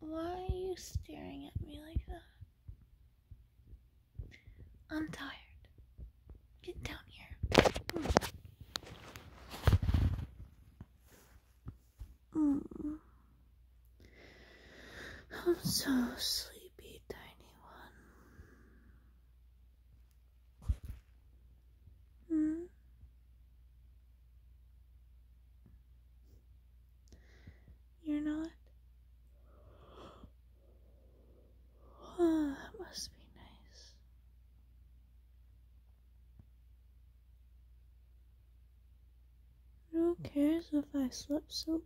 Why are you staring at me like that? I'm tired. Get down here. I'm so sleepy, tiny one. Mm. You're not? Oh, that must be nice. Who cares if I slept so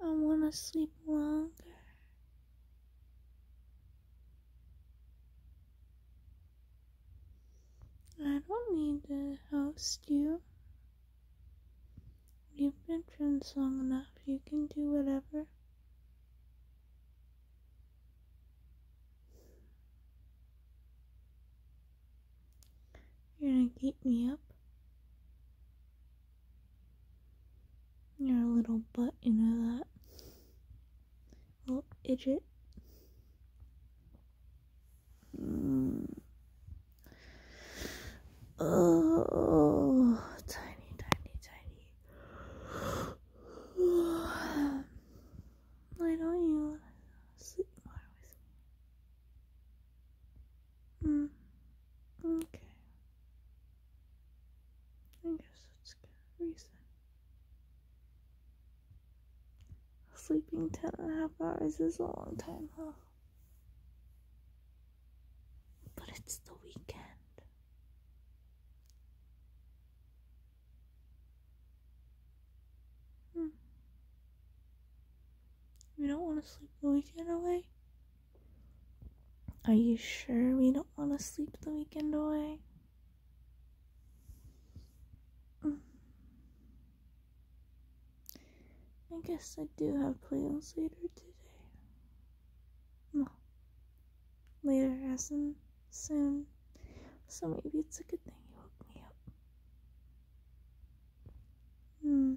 long? I want to sleep longer. I don't need to host you. You've been friends long enough. You can do whatever. You're going to keep me up. You're a little butt, you know that. Little idiot. Mm. Oh, tiny, tiny, tiny. I don't want to sleep more with me? Hmm. Okay. I guess that's good reason. Sleeping ten and a half hours is a long time, huh? But it's the weekend. We hmm. don't want to sleep the weekend away? Are you sure we don't want to sleep the weekend away? Hmm. I guess I do have plans later today. No, later as in soon. So maybe it's a good thing you woke me up. Hmm.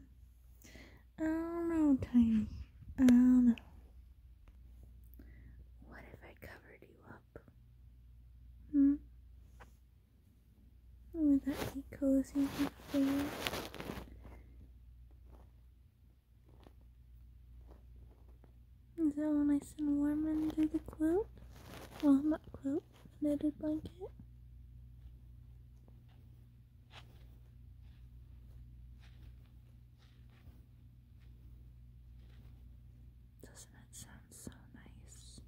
I don't know, Tiny. I don't know. What if I covered you up? Hmm? Would that be cozy for you? Is that all nice and warm under the quilt? Well, not quilt, knitted blanket. Doesn't it sound so nice?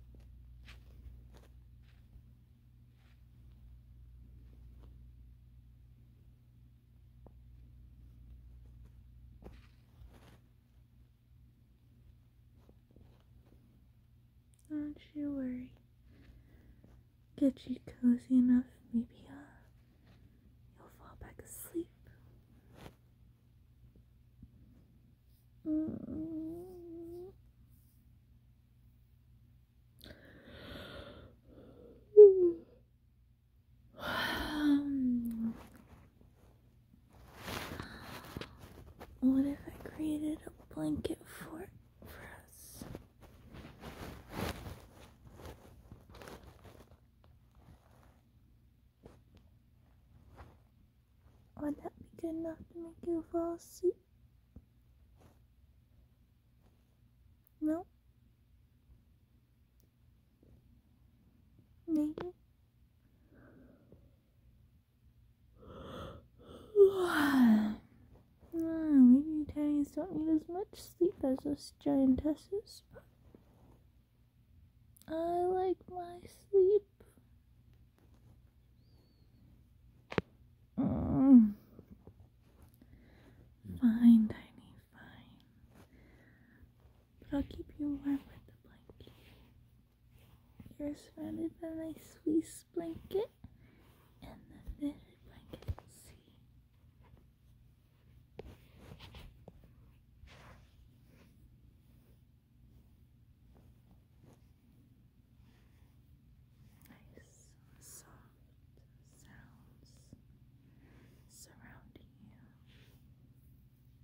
Don't you worry. Get you cozy enough, maybe uh, you'll fall back asleep. Um, what if I created a blanket fort for us? Would that be good enough to make you fall asleep? No? Maybe. oh, don't need as much sleep as us giantesses. I like my sleep. Mm. Fine, Tiny, fine. I'll keep you warm with the blanket. You're surrounded by my Swiss blanket and the knitted blanket. See? Nice, soft sounds surrounding you.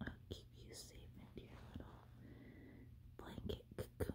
I'll keep you safe into your little blanket cocoon.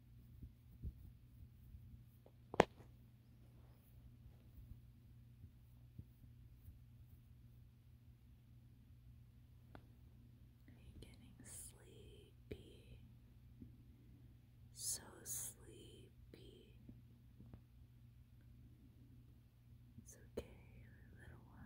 Are you getting sleepy? So sleepy. It's okay, little one.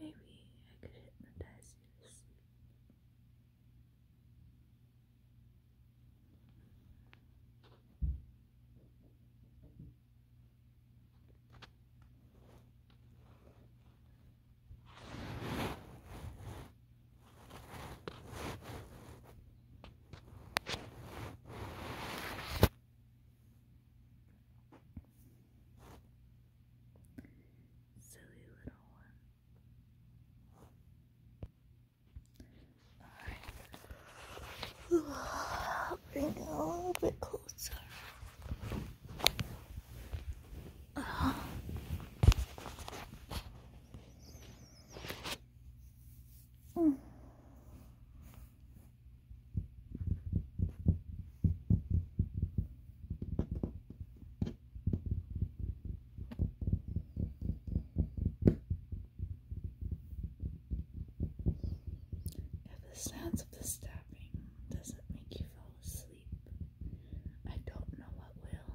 Maybe I could hypnotize you to Silly little one. Alright. Bring it a little bit closer. Uh -huh. Mm. If the sounds of the stabbing doesn't make you fall asleep, I don't know what will.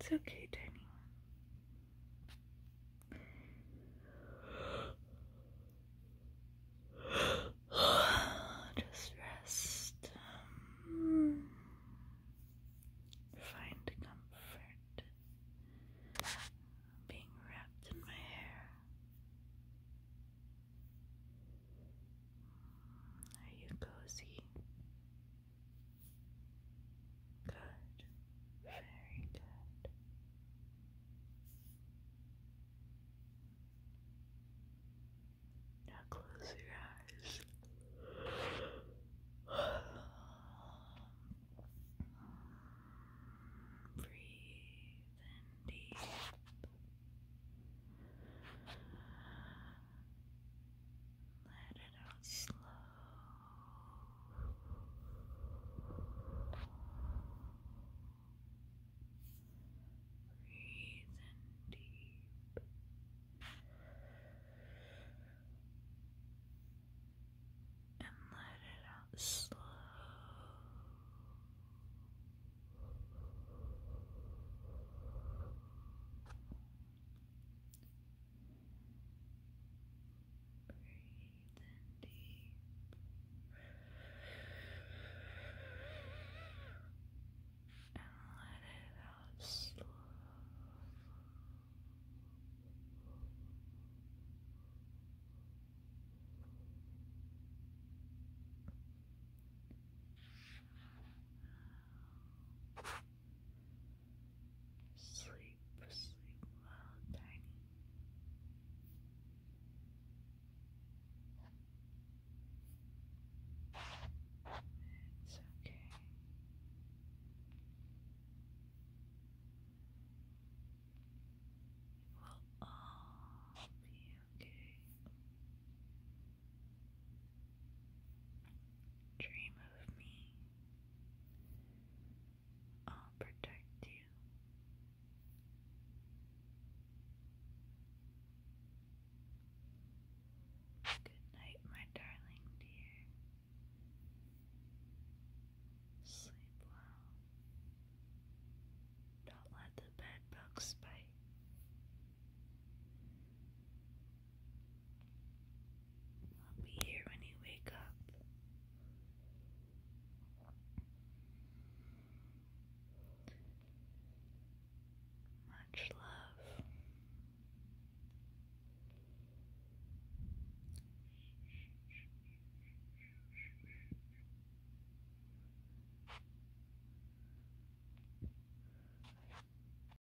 It's okay, Tiny. Just rest. Um, find comfort being wrapped in my hair. Are you cozy? Good. Very good. Now close your eyes. Breathe in deep. Let it out slow. Breathe in deep. And let it out slow. Breathe in deep. And let it out slowly. Sleep, sleep well, Tiny. It's okay. It will all be okay. Dream of me. I'll protect you. Good night, my darling dear. Sleep well. Don't let the bed bugs bite. I'll be here when you wake up. Much love.